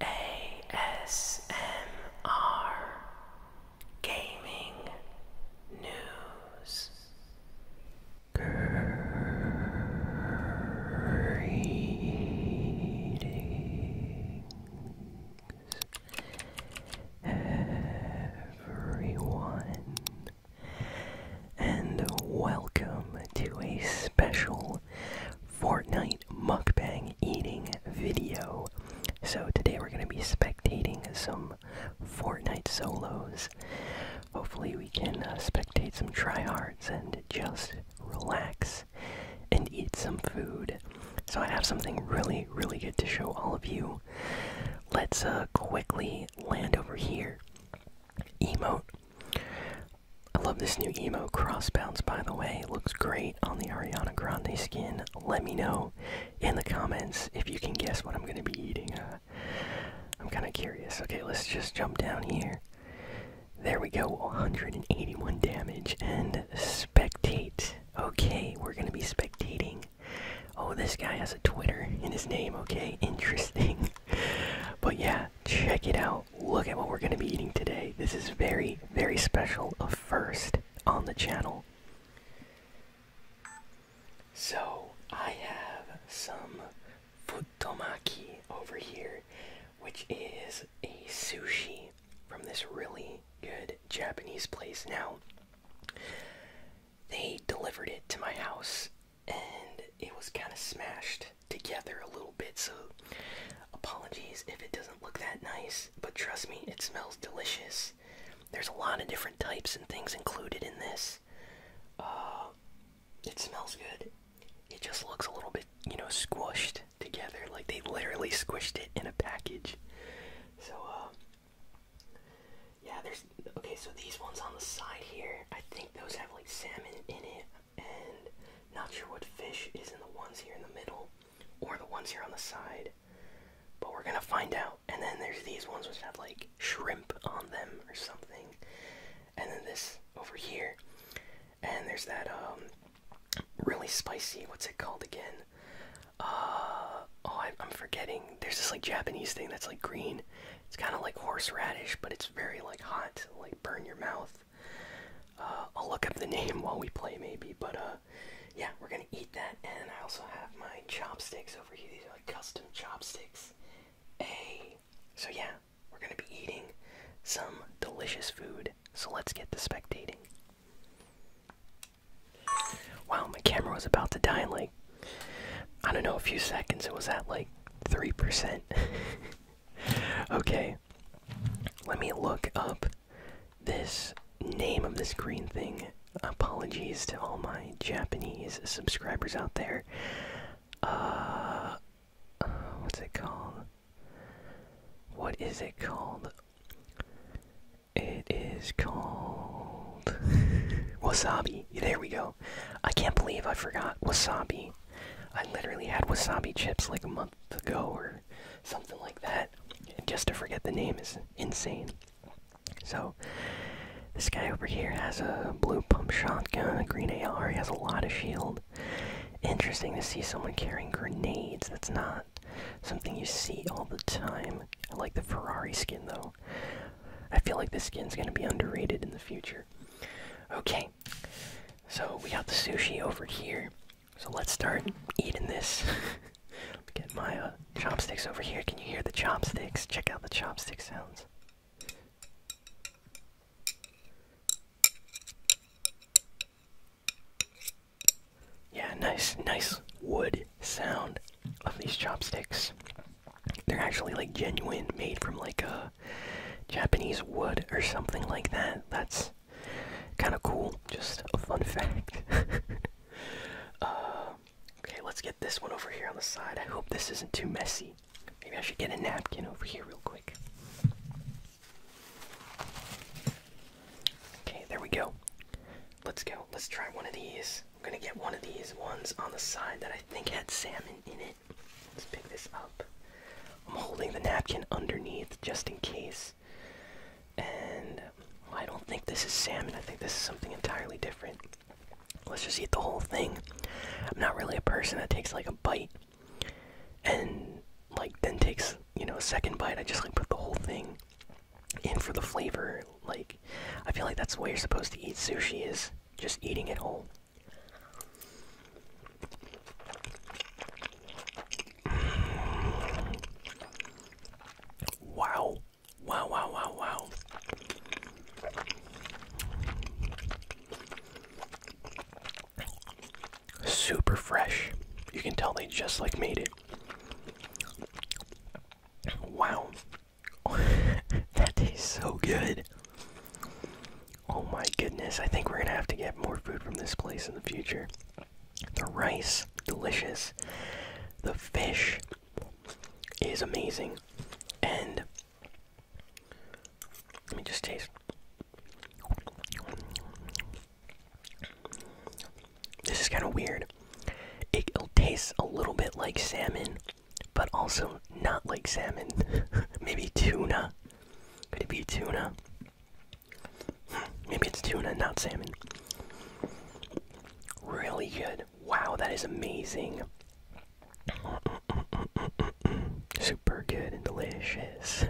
ASMR Gaming News. Greetings, everyone, and welcome to a special special Fortnite mukbang eating video. So today we're going to be spectating some Fortnite solos. Hopefully we can uh, spectate some tryhards and just relax and eat some food. So I have something really, really good to show all of you. Let's uh, quickly land over here. Emote. I love this new emo crossbounce, by the way. looks great on the Ariana Grande skin. Let me know in the comments if you can guess what I'm going to be eating. Uh, I'm kind of curious. Okay, let's just jump down here. There we go, 181 damage. And spectate. Okay, we're going to be spectating. Oh, this guy has a Twitter in his name. Okay, interesting. but yeah, check it out. Look at what we're going to be eating today. This is very, very special, a first on the channel. So, I have some futomaki over here, which is a sushi from this really good Japanese place. Now, they delivered it to my house and it was kind of smashed together a little bit, so apologies if it doesn't look that nice, but trust me, it smells delicious. There's a lot of different types and things included in this. Uh, it smells good. It just looks a little bit, you know, squished together, like they literally squished it in a package. So, uh, yeah, there's okay. So these ones on the side here, I think those have like salmon in it and not sure what fish is in the ones here in the middle or the ones here on the side, but we're gonna find out. And then there's these ones which have like shrimp on them or something, and then this over here, and there's that um really spicy. What's it called again? Uh oh, I'm forgetting. There's this like Japanese thing that's like green. It's kind of like horseradish, but it's very like hot, like burn your mouth. Uh, I'll look up the name while we play, maybe. But uh, yeah, we're gonna eat that, and I also have my chopsticks over here. These are like custom chopsticks. Hey, so yeah, we're gonna be eating some delicious food. So let's get to spectating. Wow, my camera was about to die like I don't know a few seconds. It was at like three percent. okay, let me look up this name of this green thing. Apologies to all my Japanese subscribers out there. Uh, what's it called? What is it called? It is called wasabi. There we go. I can't believe I forgot wasabi. I literally had wasabi chips like a month ago or something like that. just to forget the name is insane. So, this guy over here has a blue pump shotgun, a green AR, he has a lot of shield. Interesting to see someone carrying grenades. That's not something you see all the time. I like the Ferrari skin though. I feel like this skin's gonna be underrated in the future. Okay, so we got the sushi over here. So let's start eating this. Get my uh, chopsticks over here. Can you hear the chopsticks? Check out the chopstick sounds. Yeah, nice, nice wood sound of these chopsticks. They're actually like genuine, made from like a uh, Japanese wood or something like that. That's kind of cool. Just a fun fact. Uh, okay, let's get this one over here on the side. I hope this isn't too messy. Maybe I should get a napkin over here real quick. Okay, there we go. Let's go. Let's try one of these. I'm gonna get one of these ones on the side that I think had salmon in it. Let's pick this up. I'm holding the napkin underneath just in case. And I don't think this is salmon. I think this is something entirely different. Let's just eat the whole thing. I'm not really a person that takes like a bite and like then takes, you know, a second bite. I just like put the whole thing in for the flavor. Like I feel like that's the way you're supposed to eat sushi is just eating it whole. Wow. Wow, wow, wow, wow. Super fresh. You can tell they just like made it. Wow. that tastes so good. Oh my goodness, I think we're gonna have to get more food from this place in the future. The rice, delicious. The fish is amazing. And let me just taste. This is kind of weird. It, tastes a little bit like salmon, but also not like salmon. Maybe tuna. Could it be tuna? Hmm, maybe it's tuna, not salmon. Really good. Wow, that is amazing. Super good and delicious.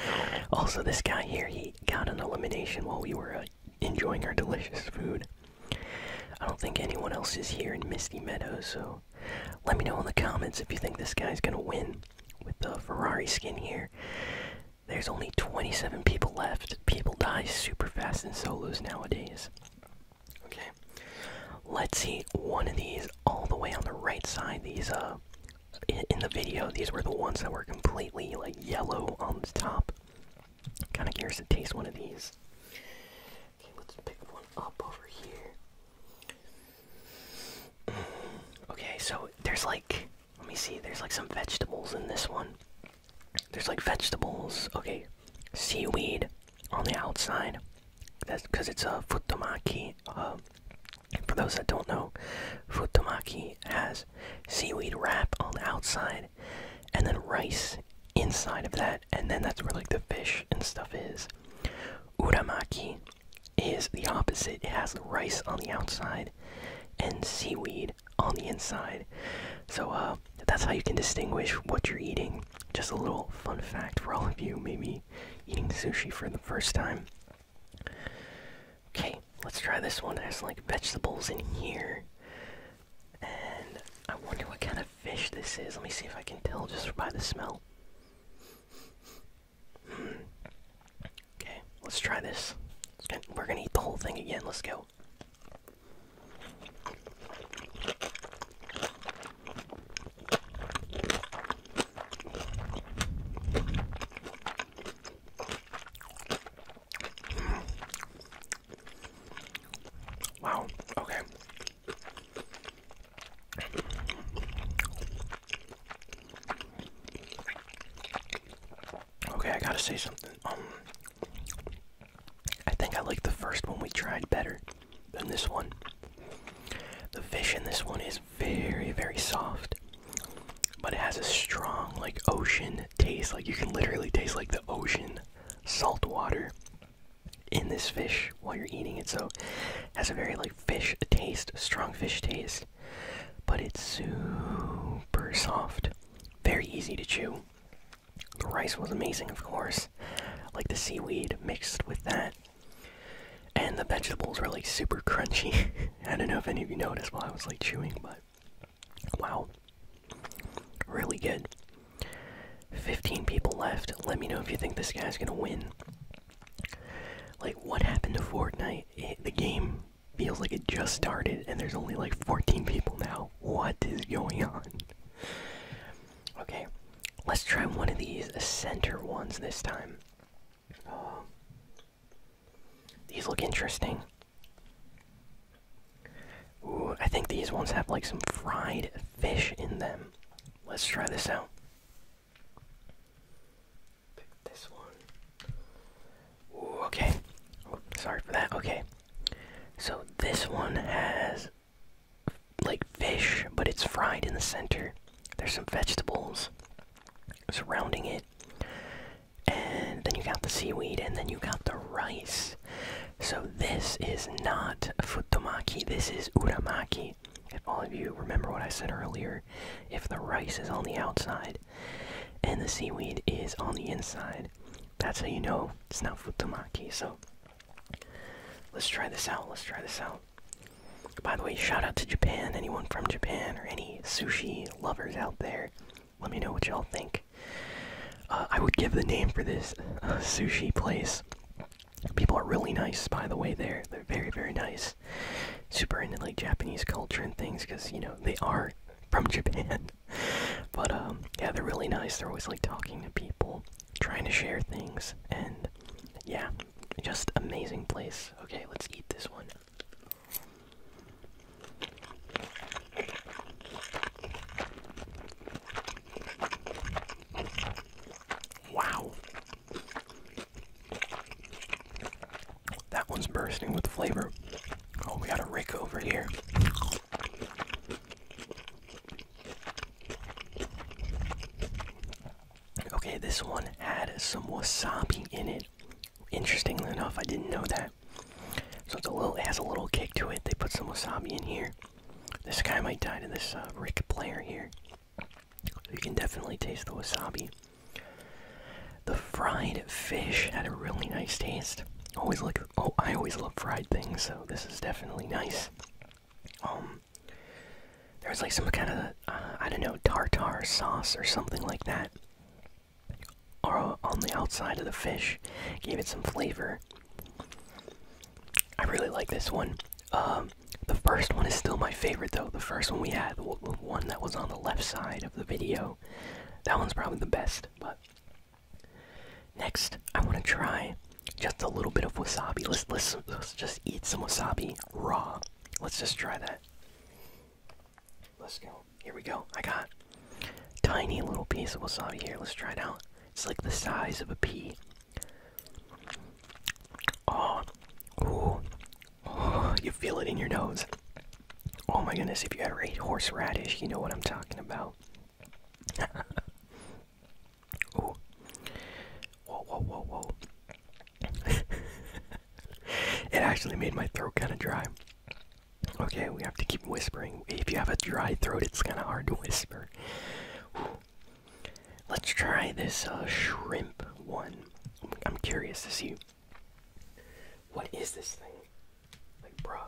also, this guy here, he got an elimination while we were uh, enjoying our delicious food. I don't think anyone else is here in Misty Meadows, so let me know in the comments if you think this guy's gonna win with the Ferrari skin here. There's only 27 people left. People die super fast in solos nowadays. Okay, let's see one of these all the way on the right side. These uh, in the video, these were the ones that were completely like yellow on the top. Kind of curious to taste one of these. Okay, let's pick one up over here. okay, so there's like, let me see, there's like some vegetables in this one. There's like vegetables, okay, seaweed on the outside. That's because it's a futomaki. Uh, for those that don't know, futomaki has seaweed wrap on the outside and then rice inside of that and then that's where like the fish and stuff is. Uramaki is the opposite. It has rice on the outside and seaweed on the inside. So uh, that's how you can distinguish what you're eating. Just a little fun fact for all of you, maybe eating sushi for the first time. Okay, let's try this one. It has like vegetables in here. And I wonder what kind of fish this is. Let me see if I can tell just by the smell. Hmm. Okay, let's try this. we're gonna eat the whole thing again. Let's go. Hmm. Wow, okay. Okay, I gotta say something. Um, I think I like the first one we tried better than this one. The fish in this one is very, very soft, but it has a strong, like, ocean taste. Like, you can literally taste, like, the ocean salt water in this fish while you're eating it, so has a very like fish taste, strong fish taste, but it's super soft, very easy to chew. The rice was amazing, of course, like the seaweed mixed with that, and the vegetables really super crunchy. I don't know if any of you noticed while I was like chewing, but wow, really good. 15 people left. Let me know if you think this guy's gonna win. Like, what happened to Fortnite? the game feels like it just started, and there's only like 14 people now. What is going on? Okay, let's try one of these center ones this time. Uh, these look interesting. Ooh, I think these ones have like some fried fish in them. Let's try this out. Pick this one. okay. Oh, sorry for that. Okay. So this one has like fish, but it's fried in the center. There's some vegetables surrounding it. And then you got the seaweed, and then you got the rice. So this is not futomaki, this is uramaki. If all of you remember what I said earlier, if the rice is on the outside and the seaweed is on the inside, that's how you know it's not futomaki. So let's try this out. Let's try this out. By the way, shout out to Japan. Anyone from Japan or any sushi lovers out there, let me know what y'all think. Uh, I would give the name for this uh, sushi place. People are really nice, by the way. There, they're very, very nice. Super into like Japanese culture and things, because you know they are from Japan. but um, yeah, they're really nice. They're always like talking to people, trying to share things, and yeah, just amazing place. Okay, let's eat this one. Wow. That one's bursting with flavor. Oh, we got a Rick over here. Okay, this one had some wasabi in it. Interestingly enough, I didn't know that. So it's a little it has a little kick to it. They put some wasabi in here. This guy might die to this uh, Rick player here. you can definitely taste the wasabi. The fried fish had a really nice taste. Always like oh, I always love fried things, so this is definitely nice. Um, was like some kind of uh, I don't know tartar sauce or something like that, or on the outside of the fish, gave it some flavor. I really like this one. Um, the first one is still my favorite, though. The first one we had, the one that was on the left side of the video, that one's probably the best. But next, I want to try just a little bit of wasabi. let's just eat some wasabi raw. Let's just try that. Let's go. Here we go. I got tiny little piece of wasabi here. Let's try it out. It's like the size of a pea. Oh, ooh, oh, you feel it in your nose. Oh my goodness, if you ever ate horseradish, you know what I'm talking about. ooh. Whoa, whoa, whoa, whoa. it actually made my throat kind of dry. Okay, we have to keep whispering. If you have a dry throat, it's kind of hard to whisper. Let's try this uh, shrimp one. I'm curious to see. What is this thing? Like, bro.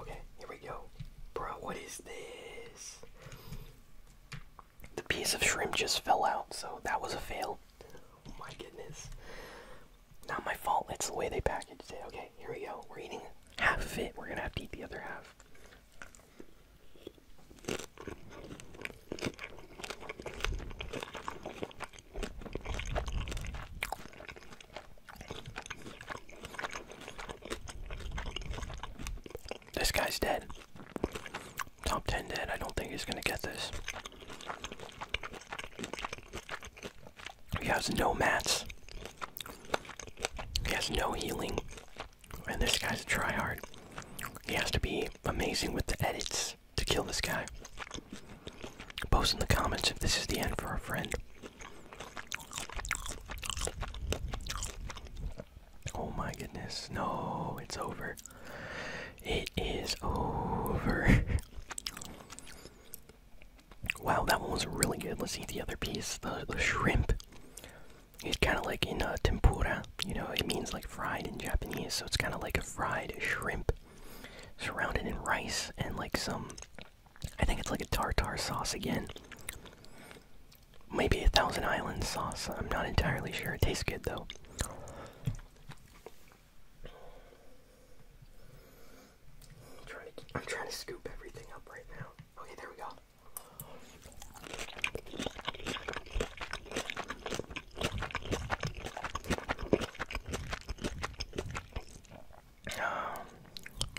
Okay, here we go. bro. what is this? The piece of shrimp just fell out, so that was a fail. Oh my goodness. Not my fault. It's the way they packaged it. Okay, here we go. We're eating half of it. We're gonna have to eat the other half. This guy's dead. Top 10 dead. I don't think he's gonna get this. He has no mats. He has no healing. And this guy's a tryhard. He has to be amazing with the edits to kill this guy. Post in the comments if this is the end for our friend. Oh my goodness. No, it's over. It is over. Wow, that one was really good. Let's eat the other piece, the, the shrimp. It's kind of like in a uh, tempura, you know, it means like fried in Japanese, so it's kind of like a fried shrimp surrounded in rice and like some, I think it's like a tartar sauce again. Maybe a Thousand Island sauce, I'm not entirely sure. It tastes good though. I'm trying to, scoop everything up right now. Okay, there we go.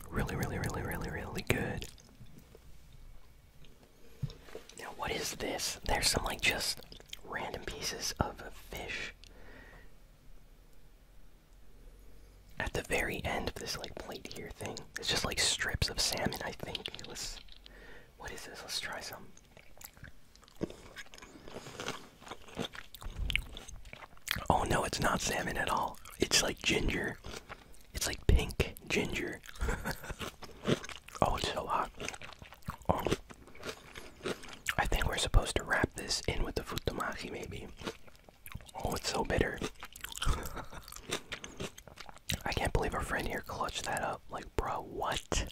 really, really, really, really, really good. Now, what is this? There's some like just random pieces of fish. At the very end of this like plate here thing, it's just like strips of salmon, I think. Let's what is this? Let's try some. Oh no, it's not salmon at all. It's like ginger. It's like pink ginger. oh, it's so hot. Oh. I think we're supposed to wrap this in with the futomaki, maybe. Oh, it's so bitter. I can't believe our friend here clutched that up. Like, bro, what?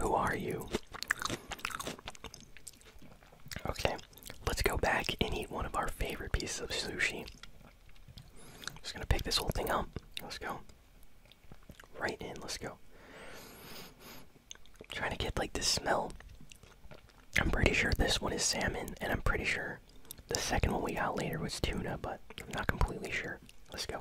Who are you? Okay, let's go back and eat one of our favorite pieces of sushi. Just gonna pick this whole thing up. Let's go. Right in, let's go trying to get like the smell. I'm pretty sure this one is salmon, and I'm pretty sure the second one we got later was tuna, but I'm not completely sure. Let's go.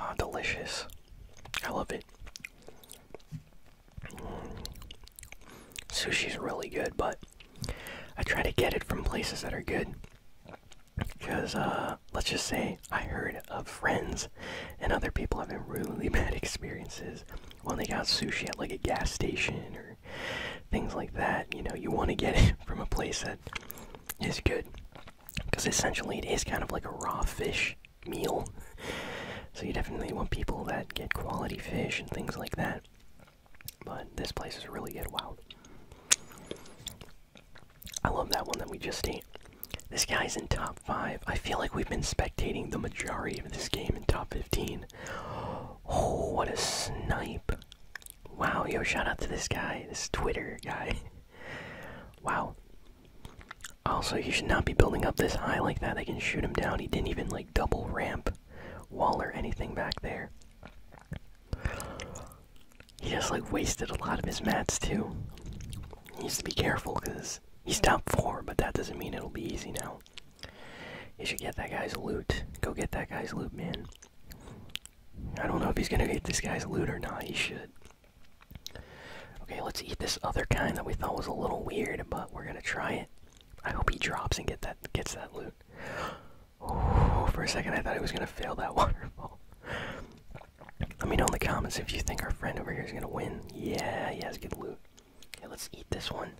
Oh, delicious. I love it. Sushi's really good, but I try to get it from places that are good. Because, uh, let's just say I heard of friends and other people having really bad experiences when they got sushi at like a gas station or things like that. You know, you want to get it from a place that is good. Because essentially it is kind of like a raw fish meal. So you definitely want people that get quality fish and things like that. But this place is really good. Wow. I love that one that we just ate. This guy's in top 5. I feel like we've been spectating the majority of this game in top 15. Oh, what a snipe. Wow, yo, shout out to this guy, this Twitter guy. wow. Also, he should not be building up this high like that. They can shoot him down. He didn't even like double ramp, wall or anything back there. He just like wasted a lot of his mats too. He needs to be careful because he's top four, but that doesn't mean it'll be easy now. He should get that guy's loot. Go get that guy's loot, man. I don't know if he's gonna get this guy's loot or not. He should. Okay, let's eat this other kind that we thought was a little weird, but we're gonna try it. I hope he drops and get that gets that loot. for a second I thought he was gonna fail that waterfall. Let me know in the comments if you think our friend over here is gonna win. Yeah, he has good loot. Okay, let's eat this one.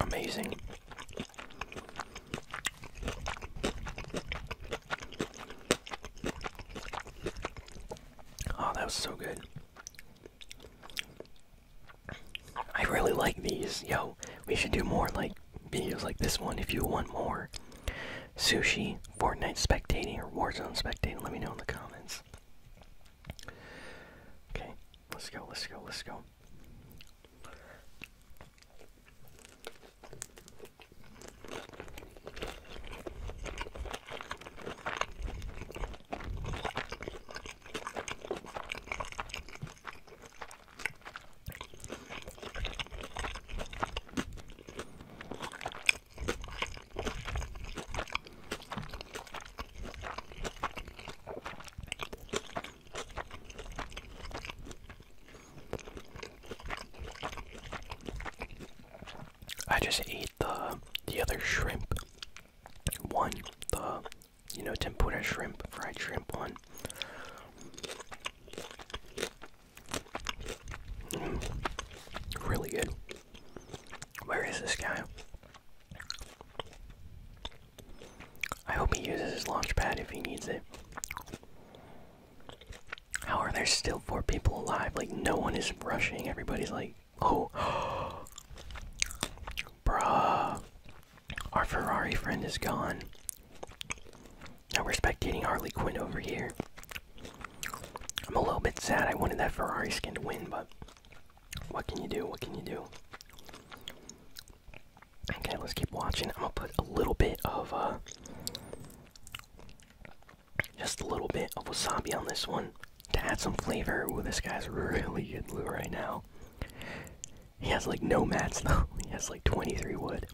Amazing. Oh, that was so good. I really like these. Yo, we should do more like videos like this one if you want more. Sushi, Fortnite spectating, or Warzone spectating, let me know in the comments. Okay, let's go, let's go, let's go. I just ate the the other shrimp one, the you know tempura shrimp, fried shrimp one. Mm-hmm. really good. Where is this guy? I hope he uses his launch pad if he needs it. How are there still four people alive? Like, no one is rushing. Everybody's like, oh. Bruh. Our Ferrari friend is gone. Now we're spectating Harley Quinn over here. I'm a little bit sad I wanted that Ferrari skin to win, but what can you do? What can you do? Okay, let's keep watching. I'm gonna put a little bit of, uh, just a little bit of wasabi on this one to add some flavor. Ooh, this guy's really good blue right now. He has like no mats though. He has like 23 wood.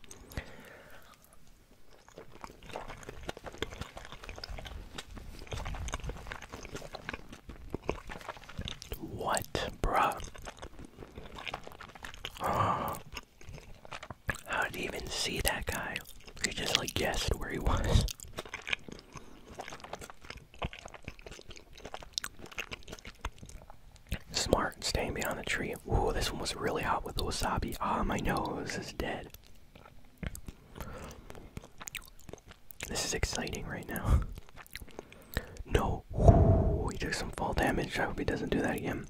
What, bro? Oh. How did you even see that guy? He just like guessed where he was. Smart, staying behind the tree. Ooh, this one was really hot with the wasabi. Ah, my nose is dead. This is exciting right now. No, he took some fall damage. I hope he doesn't do that again.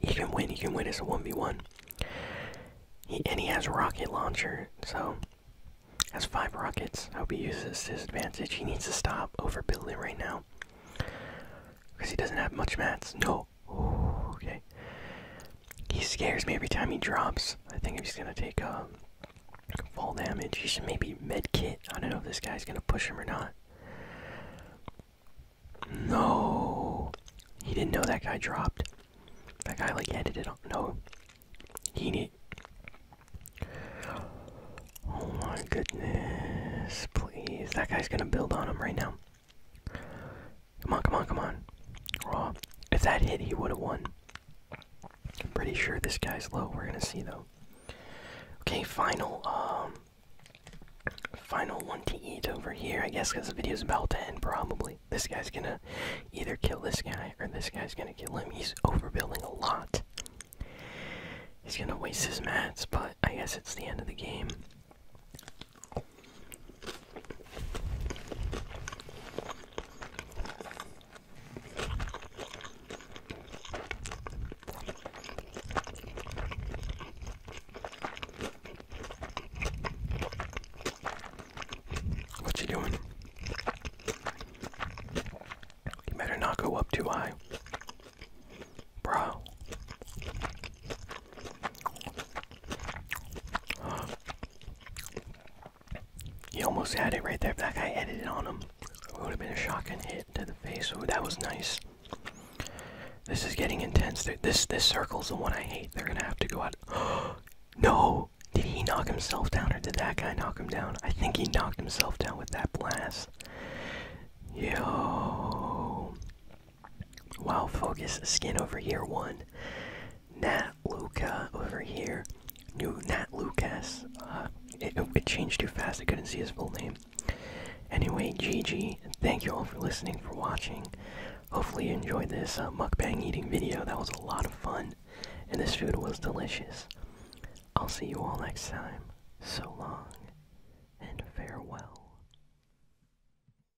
He can win. He can win. It's a one v one. He and he has rocket launcher, so has five rockets. I hope he uses his advantage. He needs to stop overbuilding right now because he doesn't have much mats. No, okay. He scares me every time he drops. I think he's gonna take a um, fall damage. He should maybe med kit. I don't know if this guy's gonna push him or not. No, he didn't know that guy dropped. That guy like ended it. No, he did. Oh my goodness, please. That guy's gonna build on him right now. Come on, come on, come on. Raw. If that hit, he would have won. I'm pretty sure this guy's low. We're gonna see though. Okay, final, um, final one to eat over here. I guess because the video's about to end, probably. This guy's gonna either kill this guy or this guy's gonna kill him. He's overbuilding a lot. He's gonna waste his mats, but I guess it's the end of the game. What you doing? You better not go up too high. Bro. He almost had it right there. that guy edited on him, would have been a shotgun hit to the face. that was nice. This is getting intense. they this circle is the one I hate. They're gonna have to go out. no! Did he knock himself down or did that guy knock him down? I think he knocked himself down with that blast. Yo. Wow, Focus skin over here, one. Nat Luca over here. New Nat Lucas. Uh, it, changed too fast, I couldn't see his full name. Anyway, GG. Thank you all for listening, for watching. Hopefully you enjoyed this uh, mukbang eating video. That was a lot of fun, and this food was delicious. I'll see you all next time. So long, and farewell.